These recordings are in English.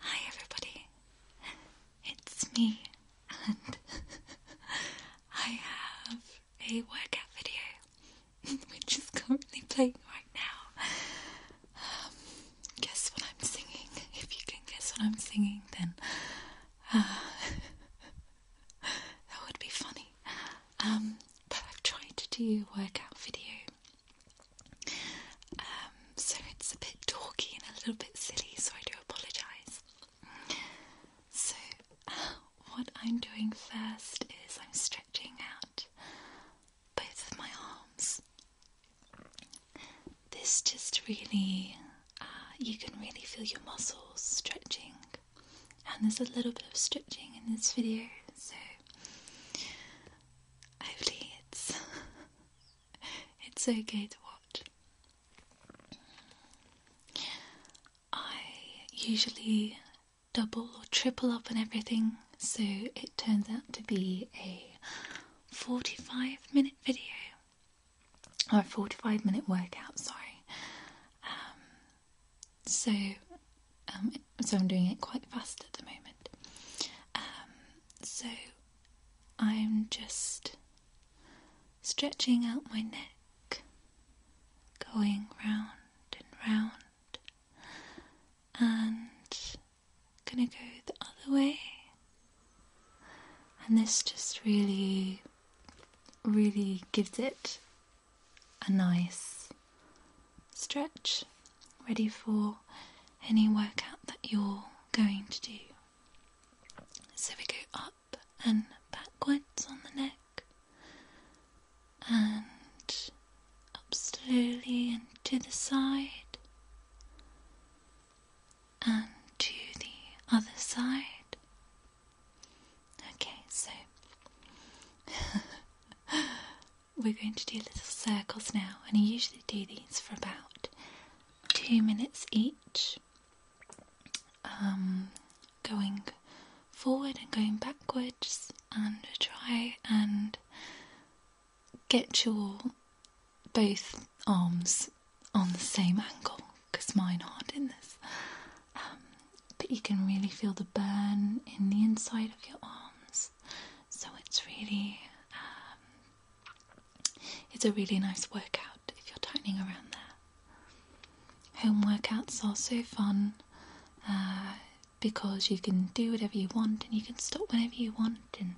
Hi, everybody. It's me, and I have a workout video which is currently playing right now. Um, guess what I'm singing? If you can guess what I'm singing, then uh, that would be funny. Um, but I've tried to do a workout video um, so it's a bit talky and a little bit silly, so I do apologise. So, what I'm doing first is I'm stretching out both of my arms. This just really, uh, you can really feel your muscles stretching, and there's a little bit of stretching in this video, so hopefully it's it's okay to watch. I usually double or triple up on everything, so it turns out to be a 45 minute video or a 45 minute workout, sorry. Um, so, um, so I'm doing it quite fast at the moment. Um, so I'm just stretching out my neck, going round and round, and gonna go the other way. And this just really, really gives it a nice stretch ready for any workout that you're going to do. So we go up and backwards on the neck and up slowly and to the side and to the other side. Okay, so we're going to do little circles now, and I usually do these for about two minutes each, um, going forward and going backwards, and try and get your both arms on the same angle because mine aren't in this. Um, but you can really feel the burn in the inside of your arms so it's really, um, it's a really nice workout if you're tightening around there. Home workouts are so fun uh, because you can do whatever you want and you can stop whenever you want and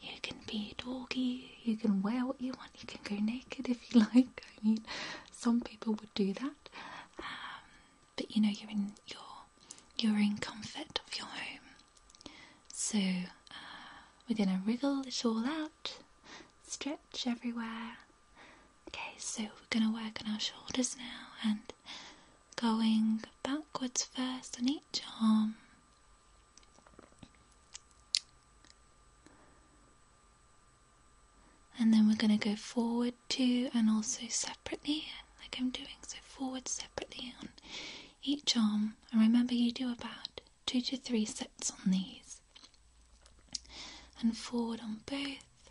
you can be doggy, you can wear what you want, you can go naked if you like. I mean, some people would do that, um, but you know, you're in your you are in comfort of your home. So uh, we're going to wriggle it all out, stretch everywhere. Okay, so we're going to work on our shoulders now and going backwards first on each arm. And then we're going to go forward too, and also separately, like I'm doing. So forward separately on each arm and remember you do about two to three sets on these and forward on both,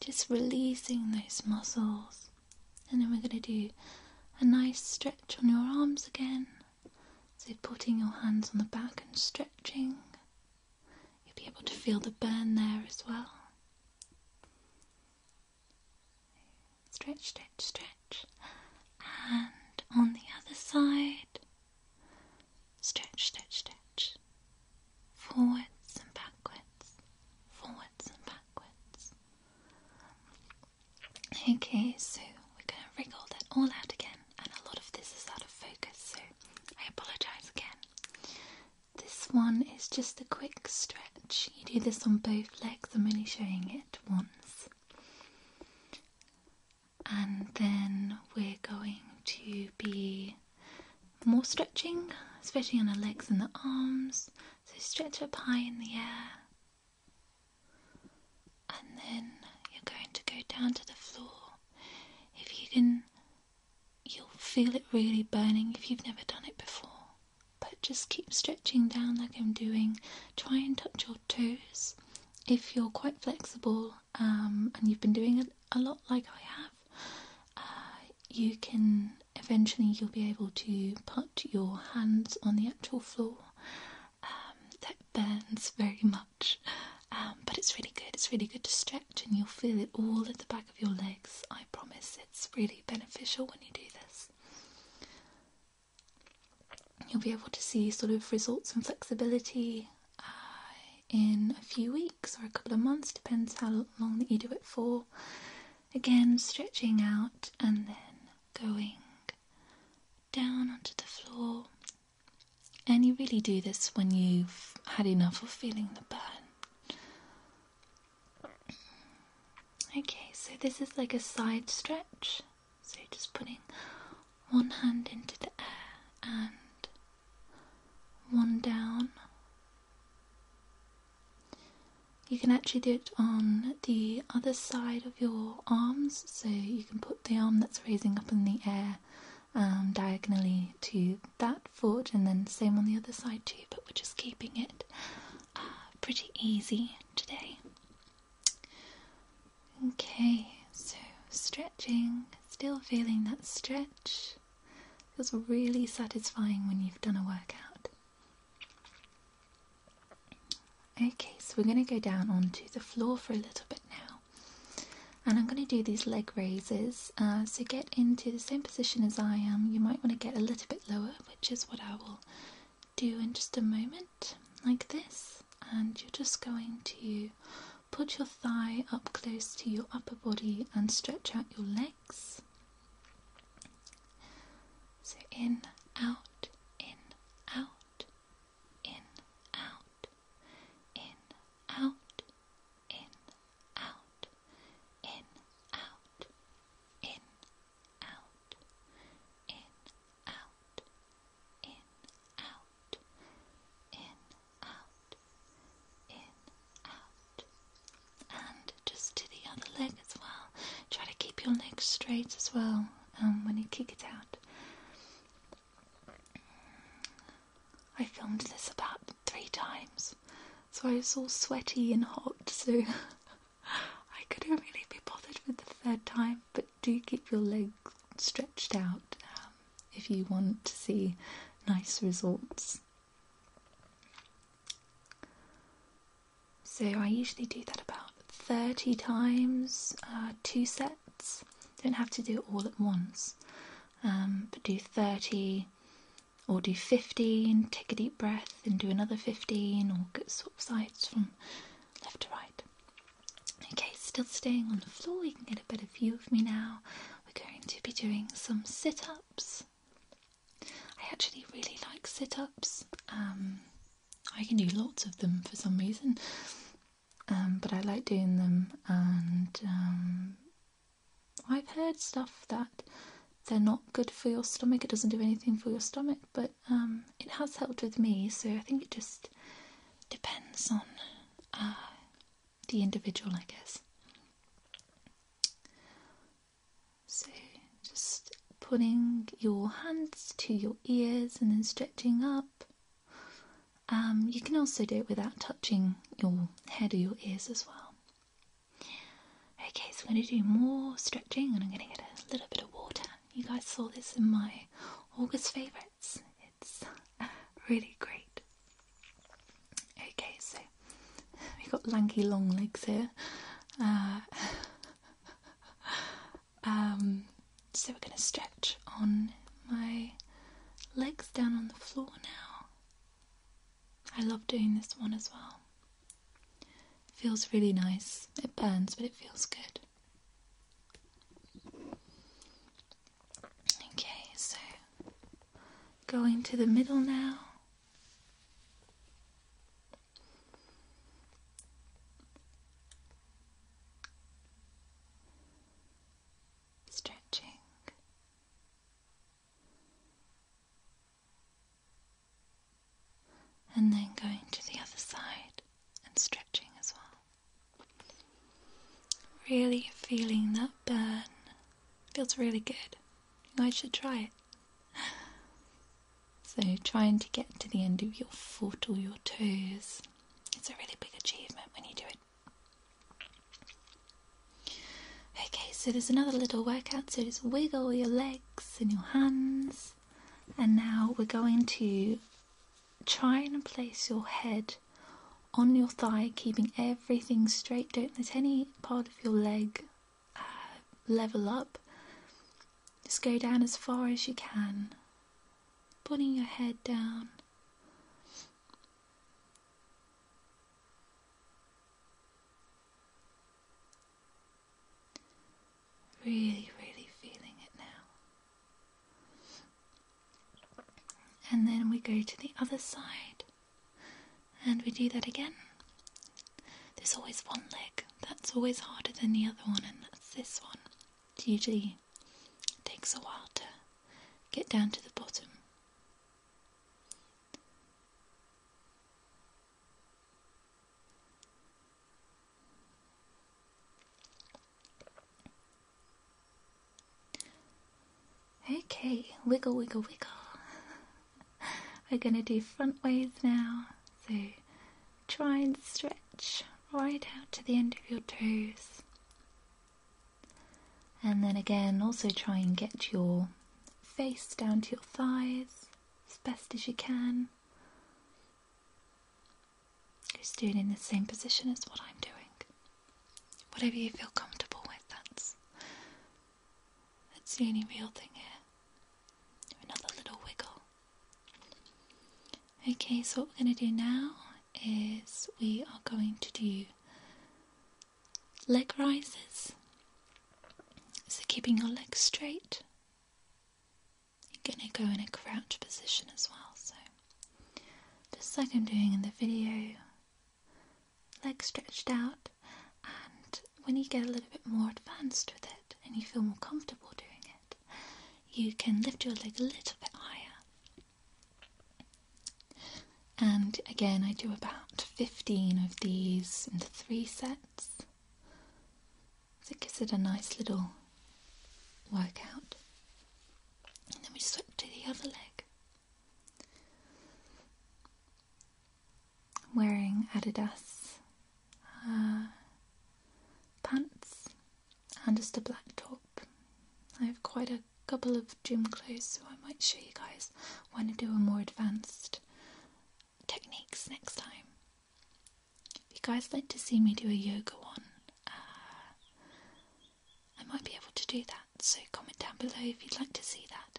just releasing those muscles. And then we're going to do a nice stretch on your arms again. So, putting your hands on the back and stretching, you'll be able to feel the burn there as well. Stretch, stretch, stretch. And on the other side. Stretch, stretch, stretch. Forwards and backwards. Forwards and backwards. Okay, so we're going to wriggle that all out again, and a lot of this is out of focus, so I apologise again. This one is just a quick stretch you do this on both legs. I'm only showing it once. And then we're going to be more stretching, stretching on the legs and the arms. So stretch up high in the air. And then you're going to go down to the floor. If you can, you'll feel it really burning if you've never done it before but just keep stretching down like I'm doing. Try and touch your toes if you're quite flexible um, and you've been doing it a lot like I have. Uh, you can eventually you'll be able to put your hands on the actual floor. Um, that burns very much, um, but it's really good. It's really good to stretch, and you'll feel it all at the back of your legs. I promise, it's really beneficial when you do this. You'll be able to see sort of results and flexibility uh, in a few weeks or a couple of months, depends how long that you do it for. Again, stretching out and then going down onto the floor. And you really do this when you've had enough of feeling the burn. Okay, so this is like a side stretch. So just putting one hand into the air and one down. You can actually do it on the other side of your arms, so you can put the arm that's raising up in the air um, diagonally to that foot, and then same on the other side too, but we're just keeping it uh, pretty easy today. Okay, so stretching, still feeling that stretch. Feels really satisfying when you've done a workout. Okay, so we're going to go down onto the floor for a little bit now. And I'm going to do these leg raises. Uh, so get into the same position as I am. You might want to get a little bit lower, which is what I will will do in just a moment, like this. And you're just going to put your thigh up close to your upper body and stretch out your legs. So in, out, in, out, in, out, in, out, in, out, in, out, in, out, in, out, in, out, in, out, in, out. And just to the other leg as well. Try to keep your legs straight as well um, when you kick it out. I filmed this about three times, so I was all sweaty and hot, so I couldn't really be bothered with the third time, but do keep your legs stretched out um, if you want to see nice results. So I usually do that about 30 times, uh, two sets. Don't have to do it all at once, um, but do 30 or do 15, take a deep breath and do another 15, or get swap sides from left to right. Okay, still staying on the floor, you can get a better view of me now. We're going to be doing some sit ups. I actually really like sit ups. Um, I can do lots of them for some reason, um, but I like doing them, and um, I've heard stuff that they're not good for your stomach. It doesn't do anything for your stomach, but um, it has helped with me. So I think it just depends on uh, the individual, I guess. So just putting your hands to your ears and then stretching up. Um, you can also do it without touching your head or your ears as well. Okay, so I'm going to do more stretching and I'm going to get a little bit of water. You guys saw this in my August favourites. It's really great. Okay, so we've got lanky long legs here. Uh, um, so we're going to stretch on my legs down on the floor now. I love doing this one as well. feels really nice. It burns, but it feels good. Okay, so going to the middle now. Stretching and then going to the other side and stretching as well. Really feeling that burn. Feels really good. I should try it. So, trying to get to the end of your foot or your toes, it's a really big achievement when you do it. Okay, so there's another little workout, so just wiggle your legs. In your hands. And now we're going to try and place your head on your thigh, keeping everything straight. Don't let any part of your leg uh, level up. Just go down as far as you can, putting your head down. Really, really feeling it now. And then we go to the other side and we do that again. There's always one leg that's always harder than the other one, and that's this one. It usually takes a while to get down to the bottom. Okay, wiggle, wiggle, wiggle. We're going to do front ways now. So try and stretch right out to the end of your toes. And then again, also try and get your face down to your thighs as best as you can. Who's doing in the same position as what I'm doing? Whatever you feel comfortable with, that's that's the only real thing here. Another little wiggle. Okay, so what we're going to do now is we are going to do leg rises so keeping your legs straight, you're going to go in a crouch position as well. So just like I'm doing in the video, legs stretched out, and when you get a little bit more advanced with it and you feel more comfortable doing it, you can lift your leg a little bit higher. And again, I do about 15 of these in three sets it gives it a nice little workout. And then we switch to the other leg. I'm wearing Adidas uh, pants and just a black top. I have quite a couple of gym clothes, so I might show you guys when I do a more advanced techniques next time. If you guys like to see me do a yoga one, uh, I might be able to do that. So comment down below if you'd like to see that.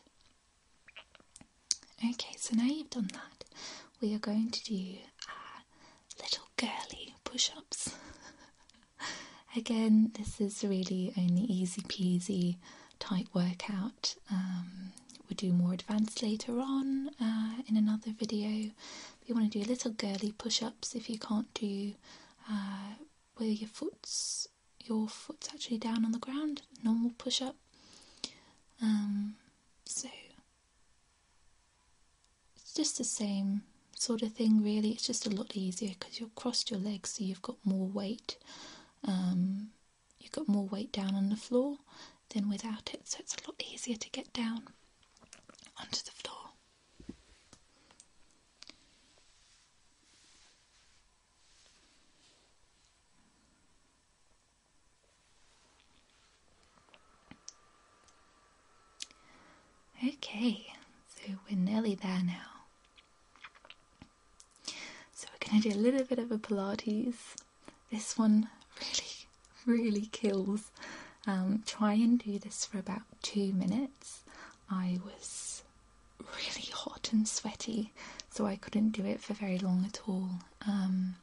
Okay, so now you've done that, we are going to do uh, little girly push-ups. Again, this is really only easy peasy. Tight workout. Um, we'll do more advanced later on uh, in another video. If you want to do a little girly push-ups if you can't do uh, where your foot's your foot's actually down on the ground, normal push-up. Um, so it's just the same sort of thing really it's just a lot easier because you've crossed your legs so you've got more weight um, You've got more weight down on the floor than without it, so it's a lot easier to get down onto the floor. Okay, so we're nearly there now. So we're going to do a little bit of a Pilates. This one really, really kills. Um, try and do this for about two minutes. I was really hot and sweaty, so I couldn't do it for very long at all. Um,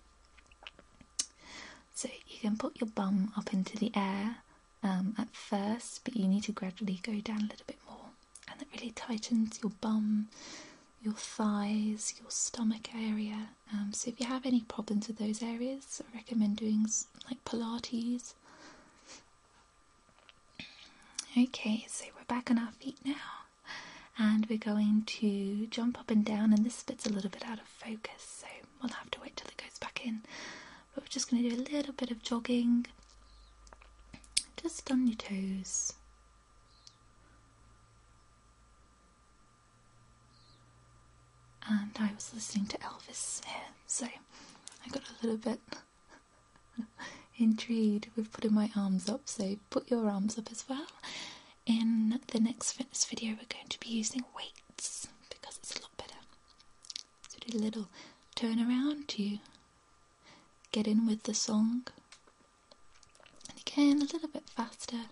so you can put your bum up into the air um, at first, but you need to gradually go down a little bit more and it really tightens your bum, your thighs, your stomach area. Um, so if you have any problems with those areas, I recommend doing like Pilates. Okay, so we're back on our feet now, and we're going to jump up and down. And this bit's a little bit out of focus, so we'll have to wait till it goes back in. But we're just going to do a little bit of jogging, just on your toes, and I was listening to Elvis here, so I got a little bit intrigued with putting my arms up, so put your arms up as well. In the next fitness video, we're going to be using weights because it's a lot better. So do a little turn around. to get in with the song and again a little bit faster.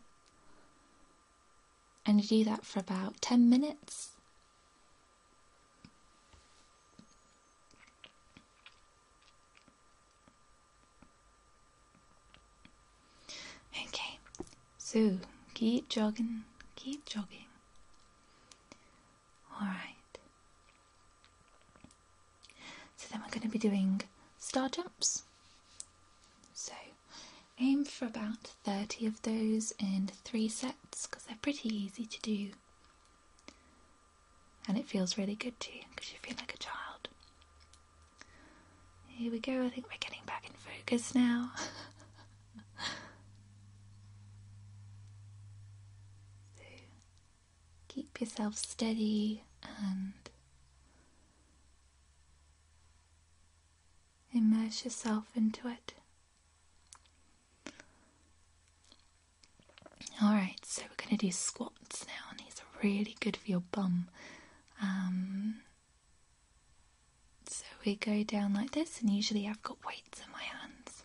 And you do that for about 10 minutes. Okay, so keep jogging, keep jogging. Alright, so then we're going to be doing star jumps. So aim for about 30 of those in three sets because they're pretty easy to do. And it feels really good too because you feel like a child. Here we go, I think we're getting back in focus now. so, keep yourself steady and immerse yourself into it. Alright, so we're going to do squats now, and these are really good for your bum. Um, so we go down like this, and usually I've got weights in my hands.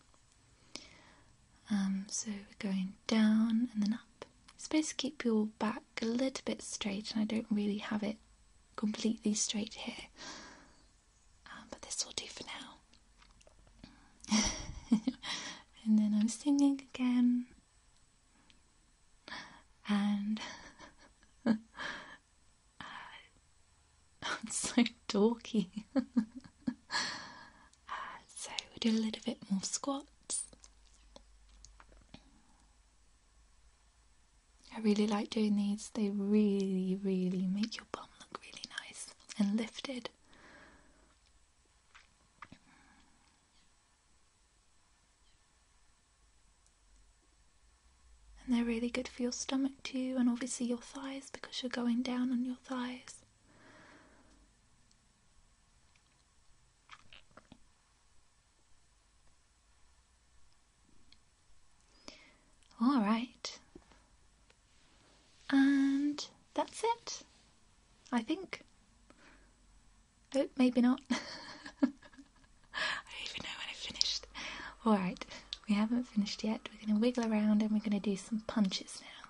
Um, so we're going down and then up. It's supposed to keep your back a little bit straight, and I don't really have it completely straight here. Um, but this will do for now. and then I'm singing again. And I'm so dorky. Uh, so we'll do a little bit more squats. I really like doing these, they really, really make your bum look really nice and lifted. And they're really good for your stomach too, and obviously your thighs because you're going down on your thighs. All right. And that's it, I think. Oh, maybe not. I don't even know when I finished. All right, we haven't finished yet. We're going to wiggle around and we're going to do some punches now.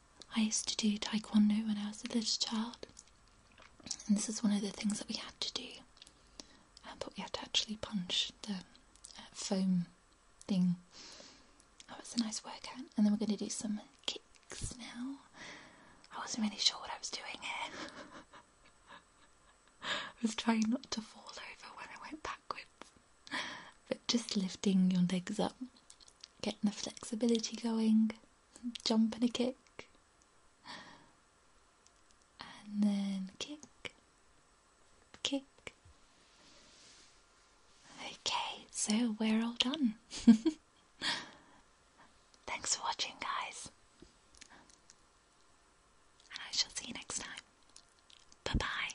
I used to do taekwondo when I was a little child, and this is one of the things that we had to do. Um, but we had to actually punch the uh, foam thing. Oh, it's a nice workout. And then we're going to do some kicks now. I wasn't really sure what I was doing here. I was trying not to fall over when I went backwards, but just lifting your legs up getting the flexibility going, jump and a kick, and then kick, kick. Okay, so we're all done. Thanks for watching, guys, and I shall see you next time. Bye bye.